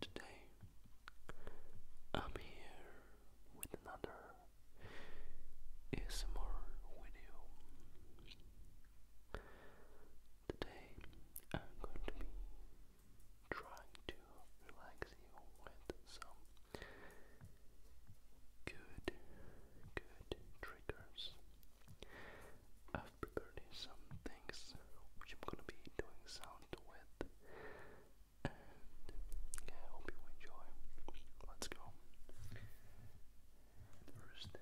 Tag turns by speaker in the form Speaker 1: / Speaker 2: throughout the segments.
Speaker 1: Today I'm here with another ASMR video. Today I'm going to be trying to relax you with some good, good triggers. I've prepared some things which I'm going to be doing sound with, yeah, I hope you enjoy. Let's go. First,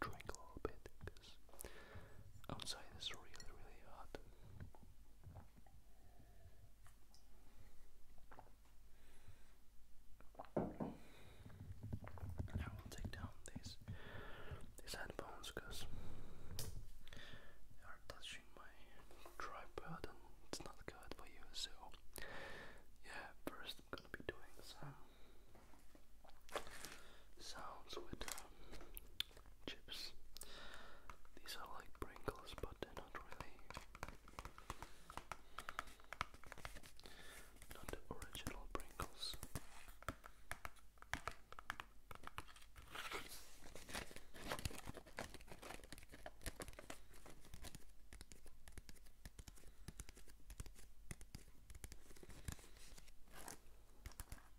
Speaker 1: drink a little bit this. Outside is really, really hot. I will take down these these headphones because they are touching my tripod and it's not good for you. So yeah, first I'm gonna be doing some sounds with um, chips. These are like Pringles, but they're not really not original Pringles.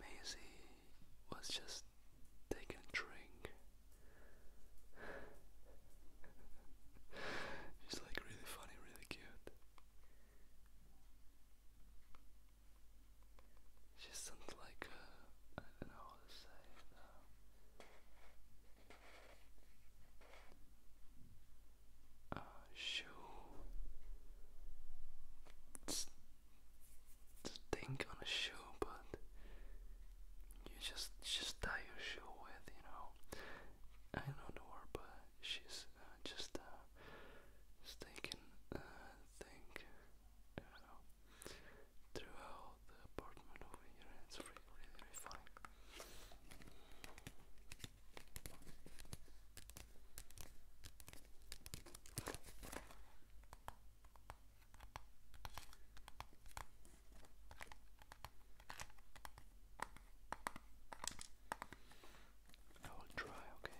Speaker 1: Maisie was just taking drink. She's like really funny, really cute. Just something like uh, I don't know how to say it. Uh, uh, it's to think on a shoe, but you just just tie your shoe with, you know. I don't know her, but she's uh, just uh, just thinking, uh, know throughout the apartment over here and it's really, really fun. I will try, okay?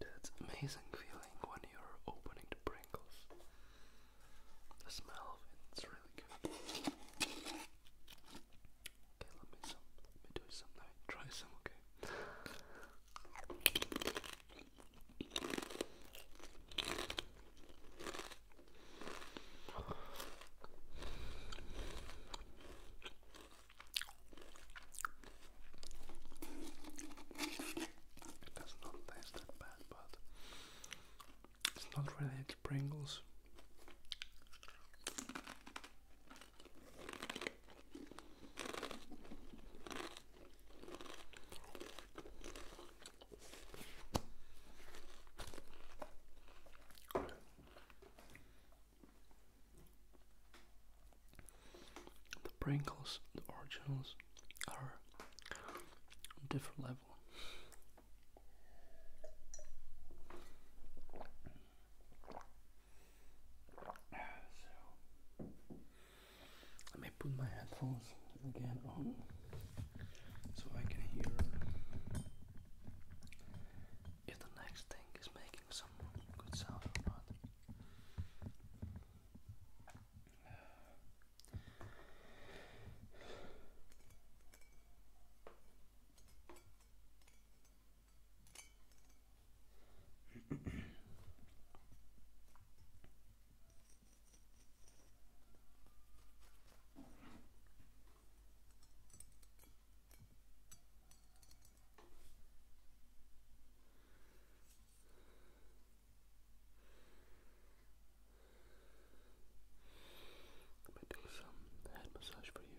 Speaker 1: That's amazing feeling when you're opening the Pringles. The smell it's really good. Okay, let me some let me do some now. Try some, okay. It does not taste that bad, but it's not really Pringles. The Pringles, the originals, are a different level let me put my headphones again on so I can hear if the next thing is making some good sound or not. I'm doing some head massage for you.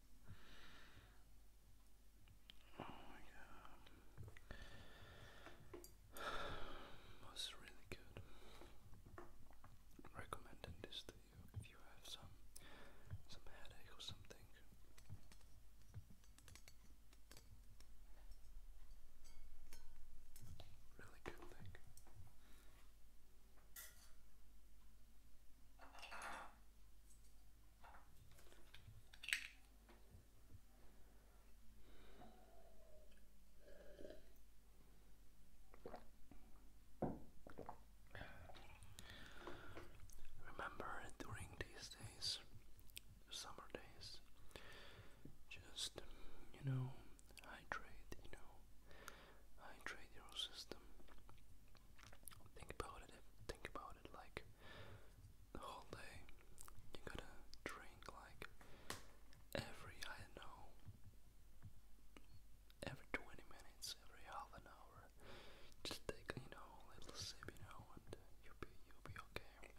Speaker 1: Oh my Was really good. Recommending this to you if you have some some headache or something. Really good thing. Remember during these days, summer days, just you know, hydrate, you know, hydrate your system. Think about it. Think about it like the whole day. You gotta drink like every I know, every twenty minutes, every half an hour. Just take you know a little sip, you know, and you'll be you'll be okay.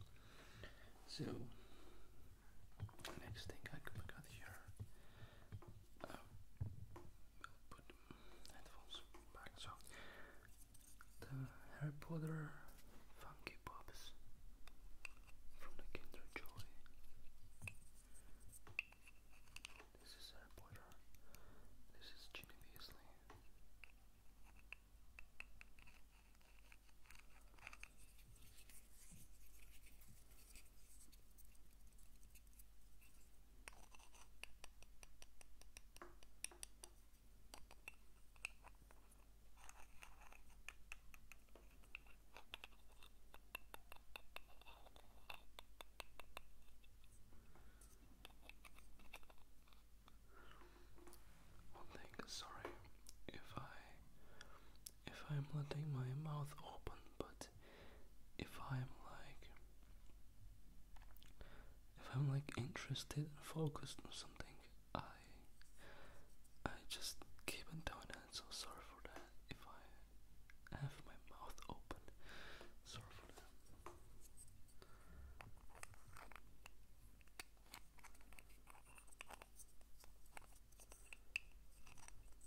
Speaker 1: So next thing I got here uh, put headphones back. So the Harry Potter Funky Pops from the Kinder Joy. This is Harry Potter. This is Ginny Beasley. One thing, sorry if I if I'm letting my mouth open, but if I'm like if I'm like interested and focused on something, I I just keep on doing it. So sorry for that. If I have my mouth open, sorry for that.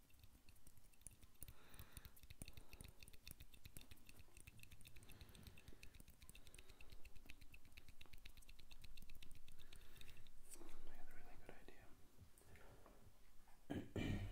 Speaker 1: I had a really good idea.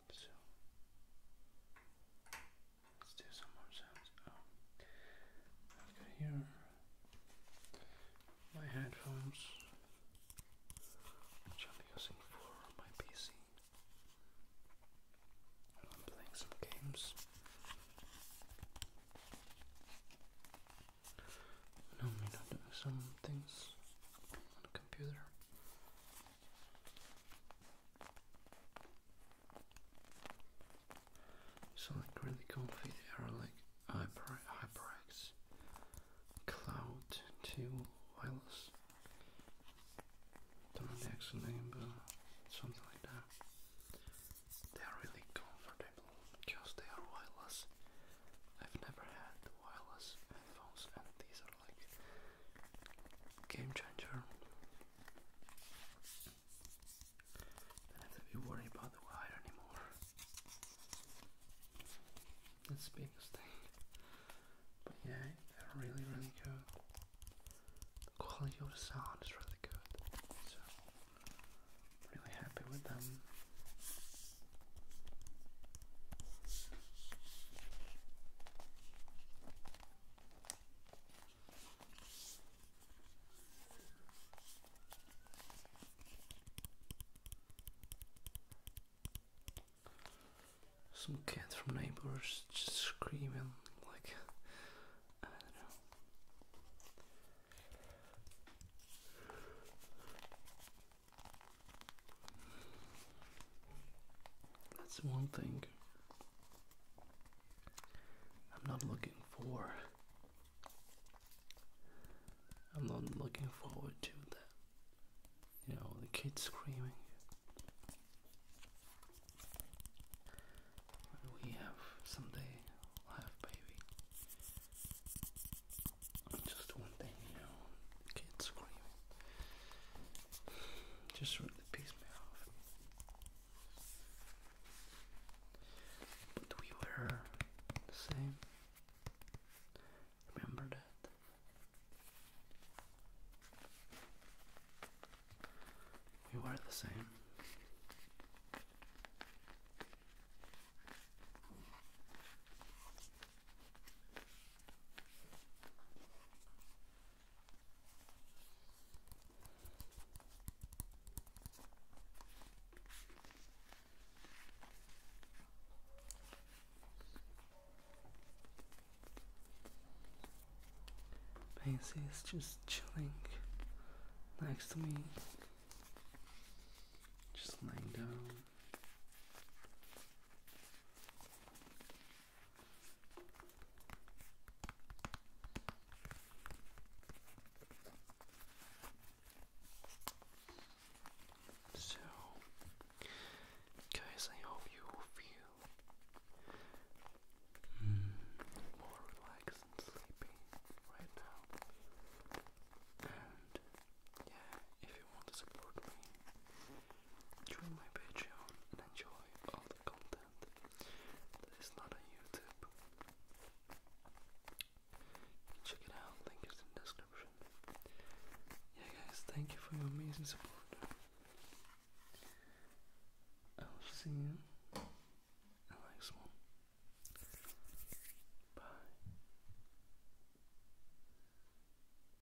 Speaker 1: So let's do some more sounds. I've oh, got here my headphones, which I'm using for my PC. I'm playing some games. I'm doing some things on the computer. So like really comfy they are like HyperX Cloud 2 wireless. Don't know the actual name but something like that. They are really comfortable because they are wireless. I've never had wireless headphones, and these are like game changer. Don't have to be worried about the wire anymore. That's a big mistake. But yeah, they're really, really good. quality of the sound is really good. So, really happy with them. Some cat from neighbors just screaming like I don't know. That's one thing I'm not looking for. I'm not looking forward to that. You know, the kids screaming. We have someday we baby. Just one thing, you know, kids screaming. Just really pissed me off. But we were the same. Remember that. We were the same. Pacey is just chilling next to me, just laying down. So, guys, I hope you feel mm, more relaxed and sleepy right now. And yeah, if you want to support me, Join my Patreon and enjoy all the content that is not on YouTube. Check it out, link is in description. Yeah guys, thank you for your amazing support. I will see you in the next one. Bye.